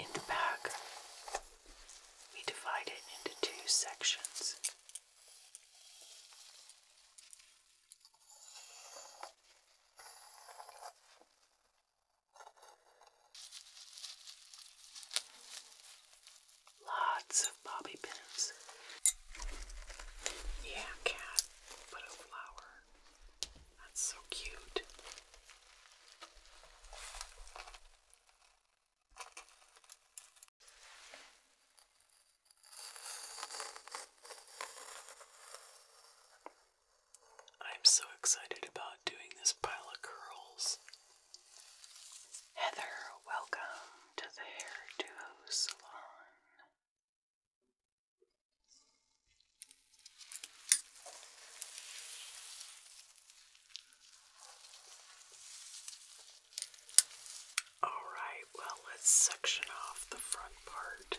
In the back, we divide it into two sections. Lots of bobby pins. Yeah, cat, but a flower. That's so cute. I'm so excited about doing this pile of curls. Heather, welcome to the Hairdo Salon. All right, well, let's section off the front part.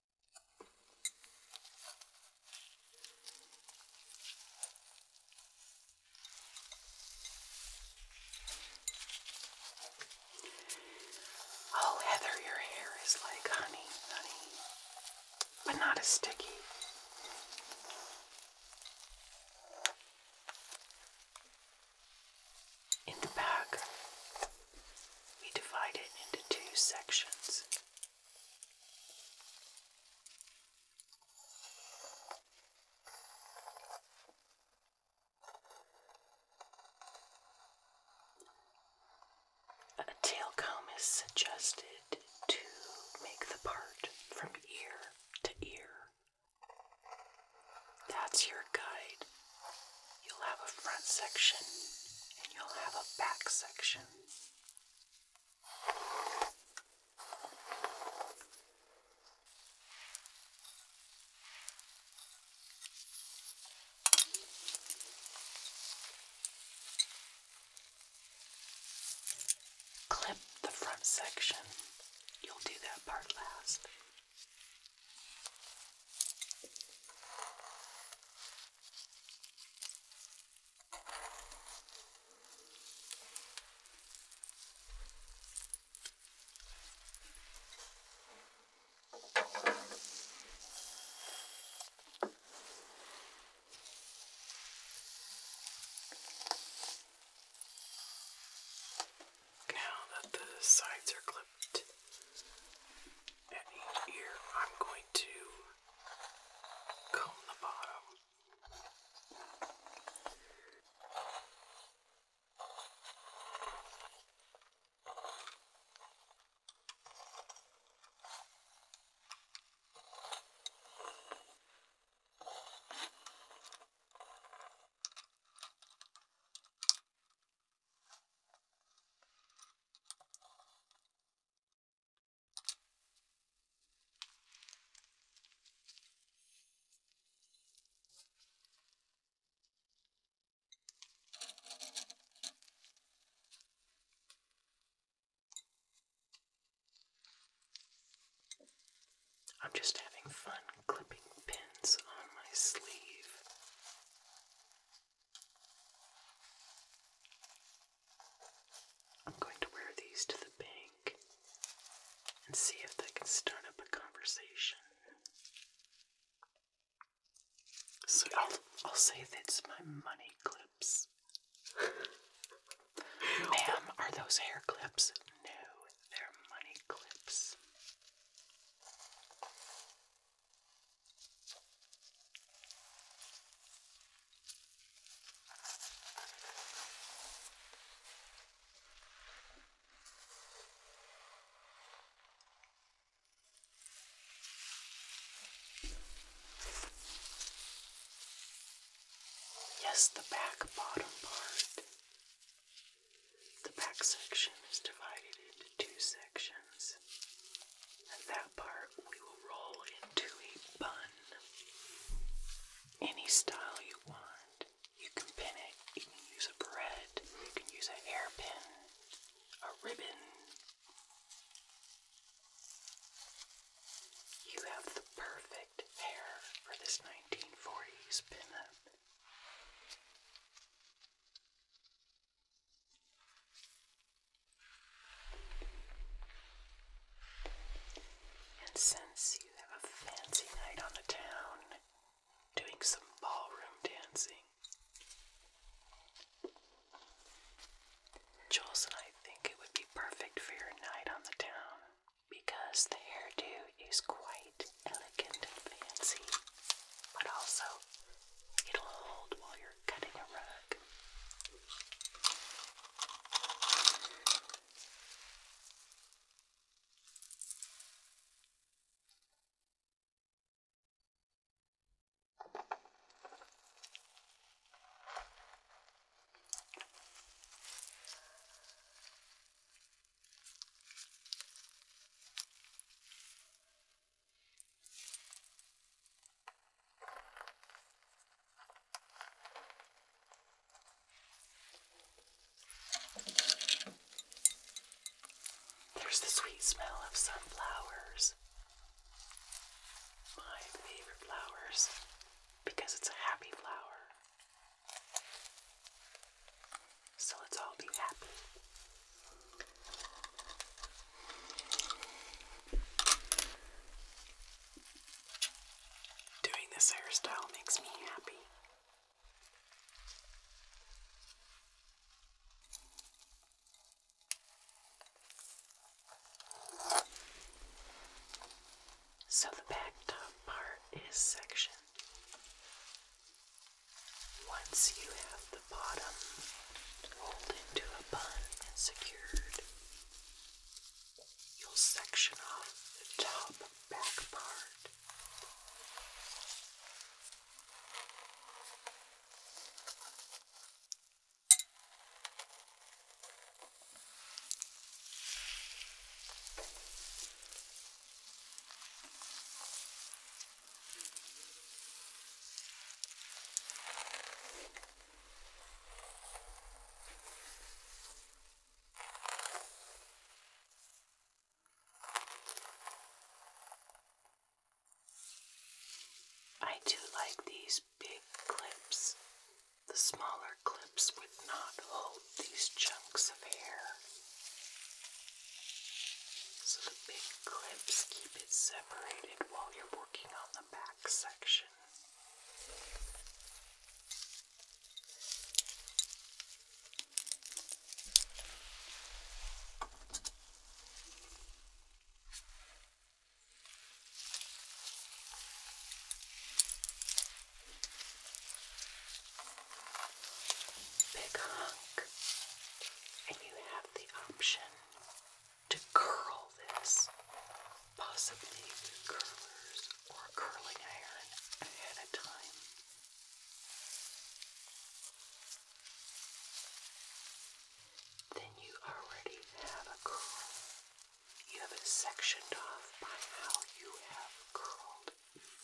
Oh, Heather, your hair is like honey, honey, but not as sticky. In the back, we divide it into two sections. A tail comb is suggested to make the part from ear to ear. That's your guide You'll have a front section and you'll have a back section. Clip the front section. You'll do that part last. Now that the sides are clipped, at each ear, I'm going to comb the bottom. I'm just having fun clipping pins on my sleeve. I'm going to wear these to the bank and see if they can start up a conversation. So I'll I'll say that's my money clips. Ma'am, are those hair clips? No, they're money clips. Yes, the back bottom part. The back section is divided into two sections that part we will roll into a bun. Any style you want. You can pin it, you can use a bread, you can use a hairpin, a ribbon. You have the perfect hair for this 1940s pinup. And since you have a fancy night on the town doing some ballroom dancing, Jules and I think it would be perfect for your night on the town because the hairdo is quite elegant and fancy, but also It'll hold while you're cutting a rug. There's the sweet smell of sunflowers. My favorite flowers because it's a happy flower. So let's all be happy. Doing this hairstyle makes me happy. So the back top part is sectioned. Once you have the bottom rolled into a bun and secured, you'll section off the top back part. I do like these big clips. The smaller clips would not hold these chunks of hair. So the big clips keep it separated while you're working on the back section. Big hunk, and you have option to curl this, possibly curlers or curling iron ahead of time. Then you already have a curl. You have it sectioned off by how you have curled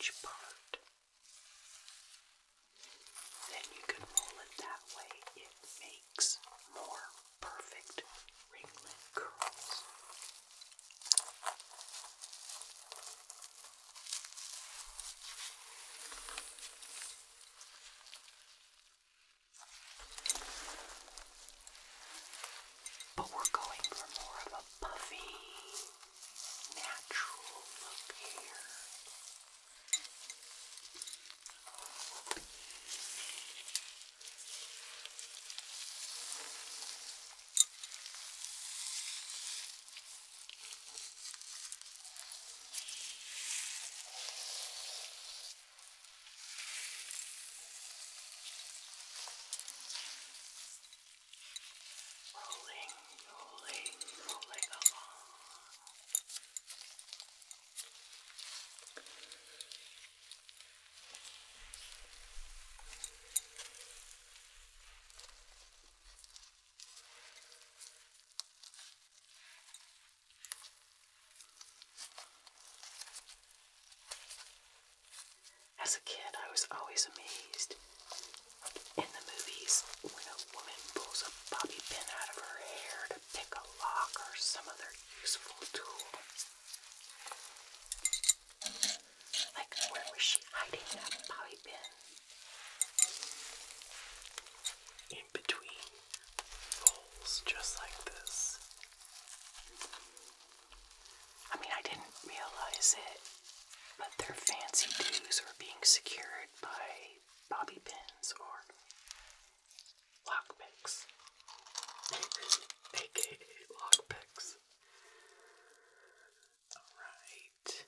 each part. Then you can roll it that way. It makes more perfect ringlet curls. But we're going for more of a puffy, natural look here rolling, rolling, rolling along. As a kid, I was always amazed in the movies when a woman pulls a bobby pin out of her hair to pick a lock or some other useful tool. Like, where was she hiding that bobby pin? In between rolls, just like this. I mean, I didn't realize it, but their fancy dues were being secured by bobby pins or lockpicks. AKA lockpicks. Alright.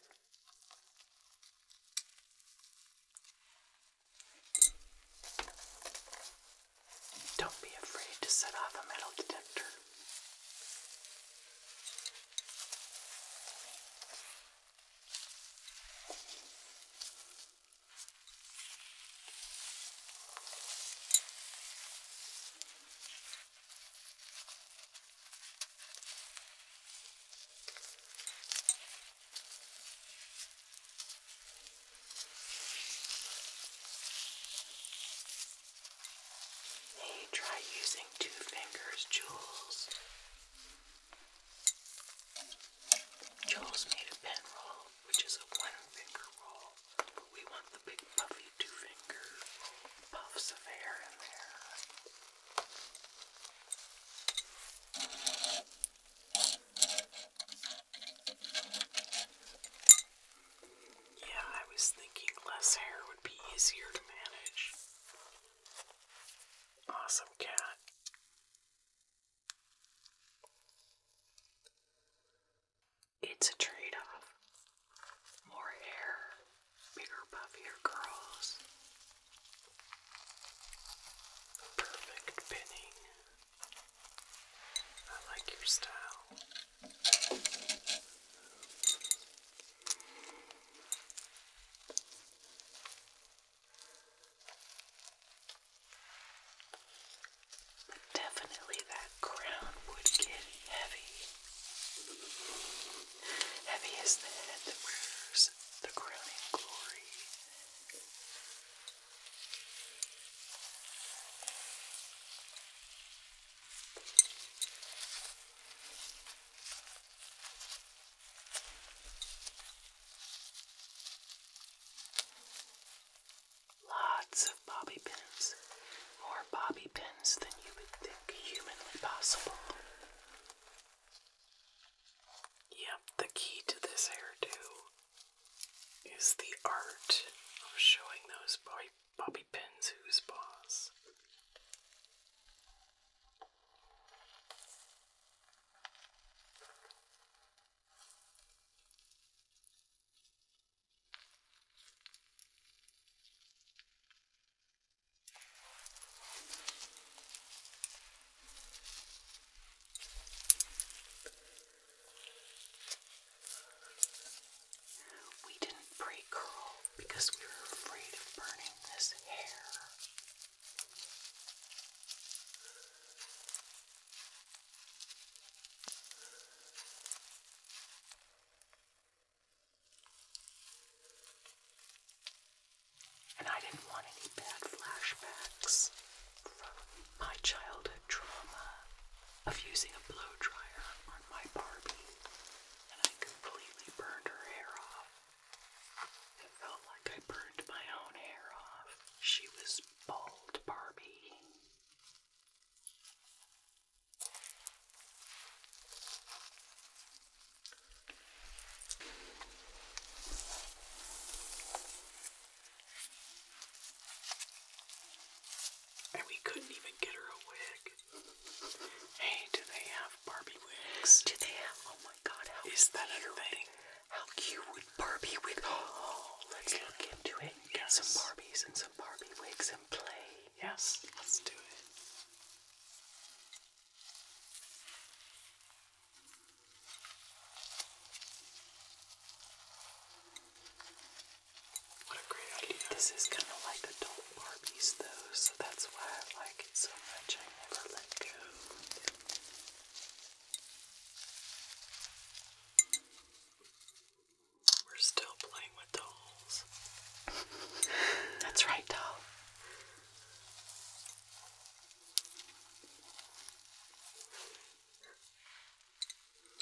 Don't be afraid to set off a metal detector. Hey, try using two fingers, Jules. Joel's made a pen roll, which is a one finger roll, but we want the big puffy two finger puffs of hair in there. Yeah, I was thinking less hair would be easier to manage. Awesome cat. It's a trade off. More hair, bigger, puffier curls. Perfect pinning. I like your style. But definitely that crown would get heavy. Heavy is the head that wears the crowning glory. Lots of bobby pins, more bobby pins than you would think humanly possible. Yep, the key to this hairdo is the art of showing those bobby, pins who's boss. We didn't pre-curl because we were afraid of burning this hair. And I didn't want any bad flashbacks from my childhood trauma of using a blow dryer on my Barbie, and I completely burned her hair off. It felt like I burned my own hair off. She was bald, Barbie. And we couldn't even get her a wig. Hey, do they have Barbie wigs? Do they have? Oh my God! How is that a thing? How cute would Barbie wig? Oh, let's look into it. some Barbies and some Barbie wigs and play. Yes, let's do it. What a great idea! This is kind of like adult Barbies, though that's why I like it so much. I never let go. We're still playing with the that's right, doll.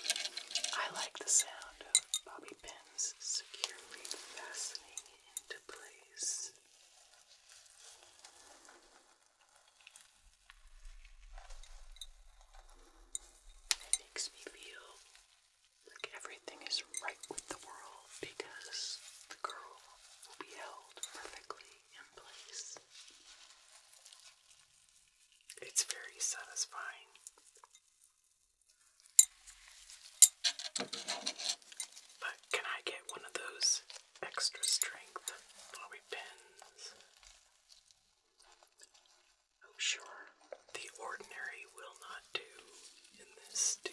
I like the sound of bobby pins securely fastening into place. It makes me feel like everything is right with the world because the girl will be held perfectly in place. It's very satisfying. But can I get one of those extra strength Bobby pins? Oh, sure. The ordinary will not do in this stew.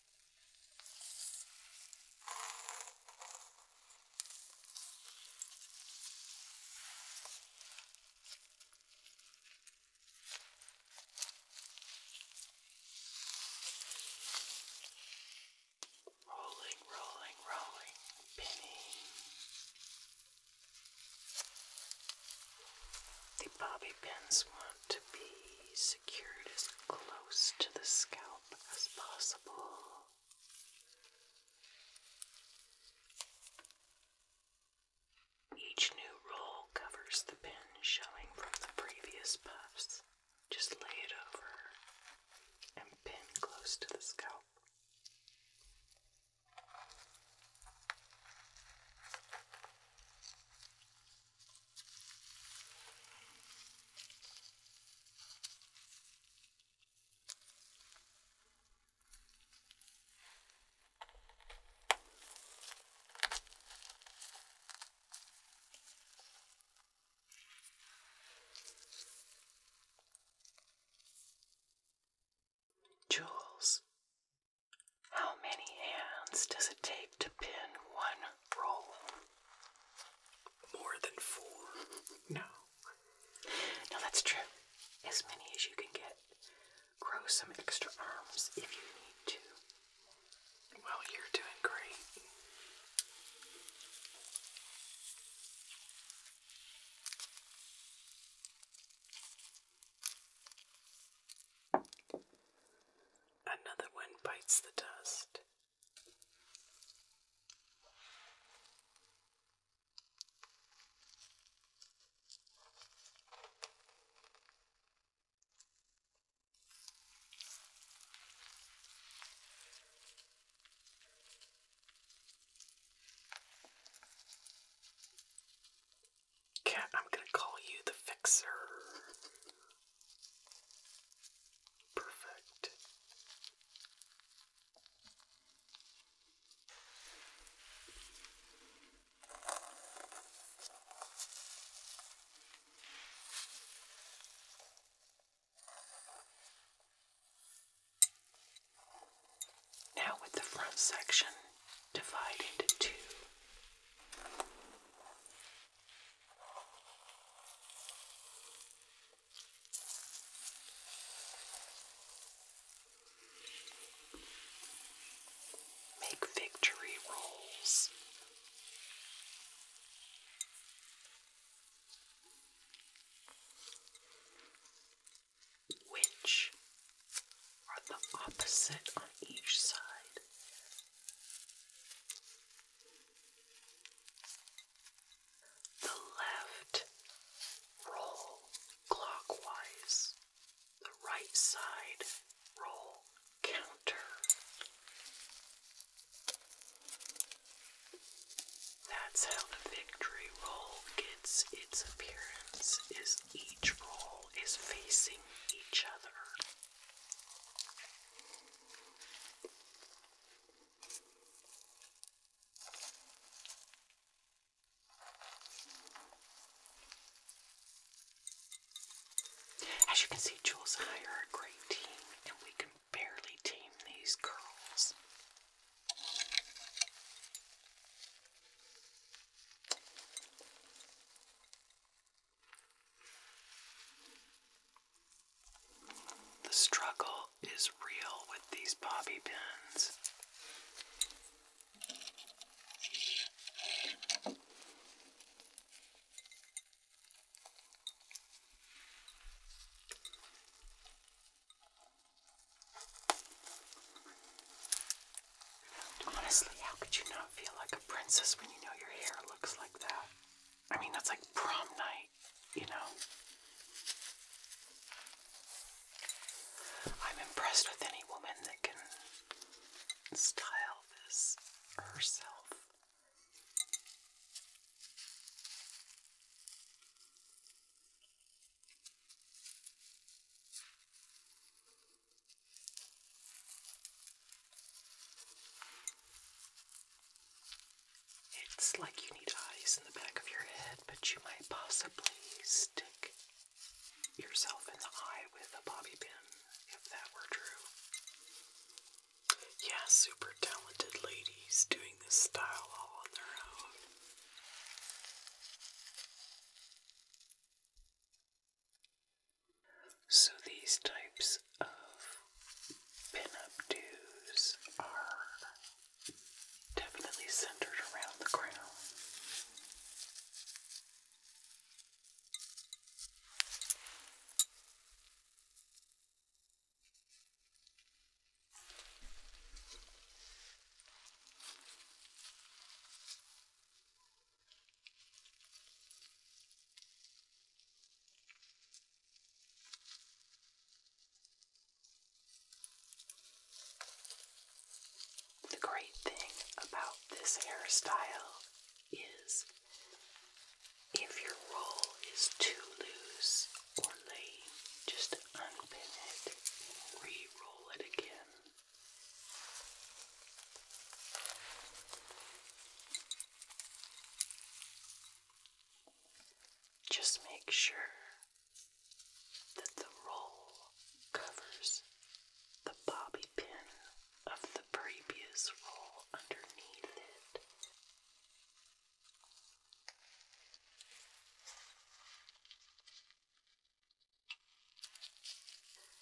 Rolling, rolling, rolling, pinning. The bobby pins want to be secured as close to the scalp as possible. Each new roll covers the pin showing from the previous puffs. Just lay it over and pin close to the scalp. Jules how many hands does it take to pin one roll? More than four. no. No, that's true. As many as you can get. Grow some extra arms if you need to. Well, you're doing great. Another one bites the dust. Cat, I'm gonna call you the fixer. Perfect. Now, with the front section divided into two, Make victory rolls. Which are the opposite on each side the left roll clockwise, the right side roll counter. That's how the victory roll gets its appearance is each roll is facing each other. As you can see, Jules and I are a great team, and we can barely tame these curls. The struggle is real with these bobby pins. Honestly, how could you not feel like a princess when you know your hair looks like that? I mean, that's like prom night, you know? I'm impressed with any woman that can style this herself. It's like you need eyes in the back of your head, but you might possibly stick yourself in the eye with a bobby pin if that were true. Yeah, super talented ladies doing this style all on their own. So these types of pin-up are definitely centered around the crown. The great thing about this hairstyle is if your roll is too loose or lame, just unpin it and re roll it again. Just make sure that the roll covers the bobby pin of the previous roll underneath it.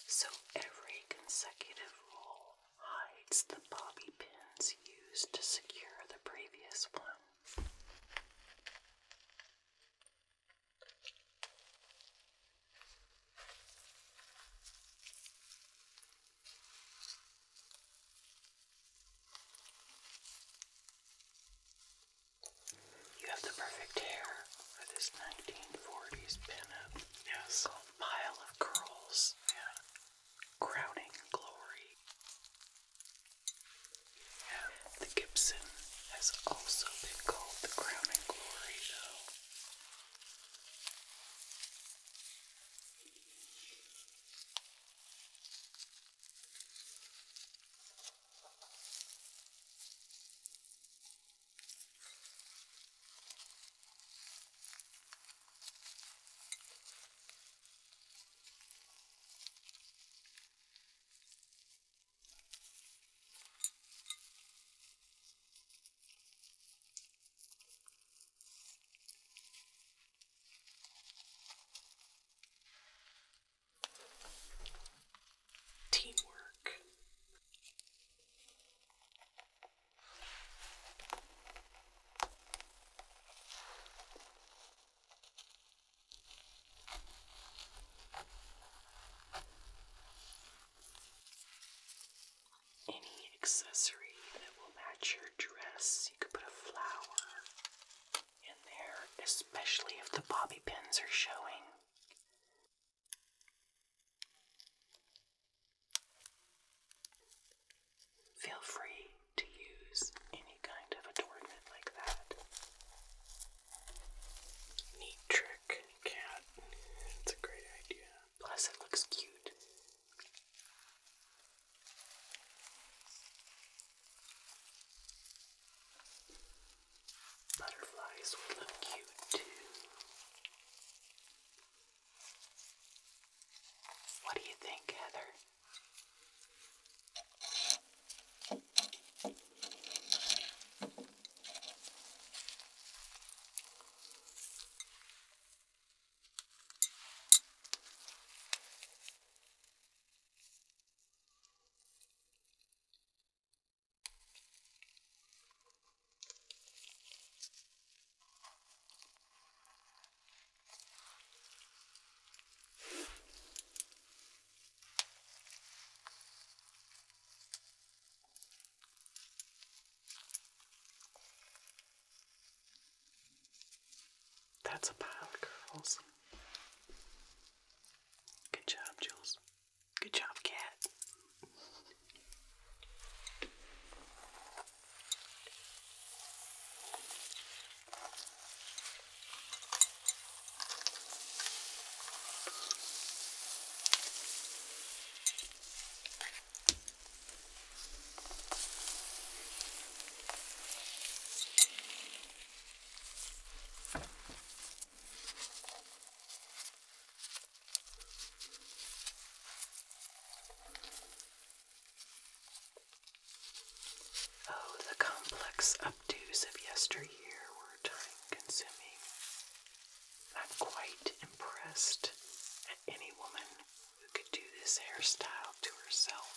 So every consecutive roll hides the bobby pins used to secure the previous one. You have the perfect hair for this 1940s pinup. Yes. a Pile of Curls. and Crowning Glory. Yeah. The Gibson has also been called the Crowning Glory, though. Teamwork. Any accessory that will match your dress, you could put a flower in there, especially if the bobby pins are showing. Feel free to use any kind of adornment like that. Neat trick, cat. It's a great idea. Plus, it looks cute. Butterflies would look cute too. What do you think, Heather? That's a pile of curls. Good job, Jules. Good job, cat. Oh, the complex updos of yesteryear were time consuming. i quite impressed at any woman who could do this hairstyle to herself.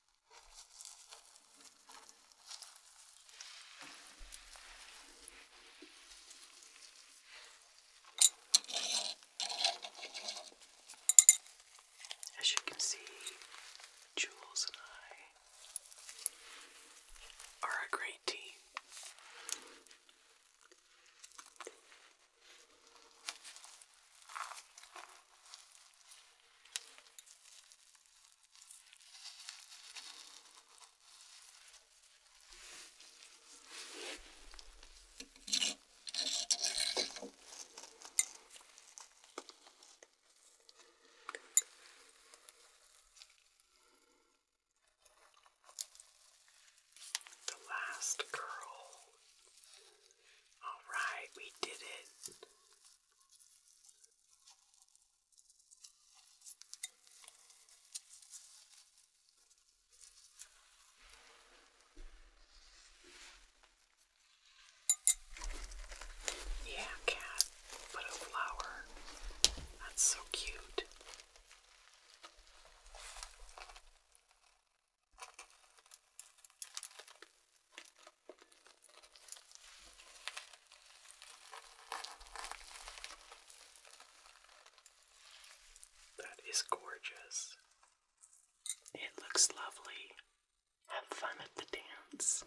As you can see, Jules and I are a great team. The last curl. All right, we did it. Yeah, cat, but a flower. That's so cute. That is gorgeous. It looks lovely. Have fun at the dance.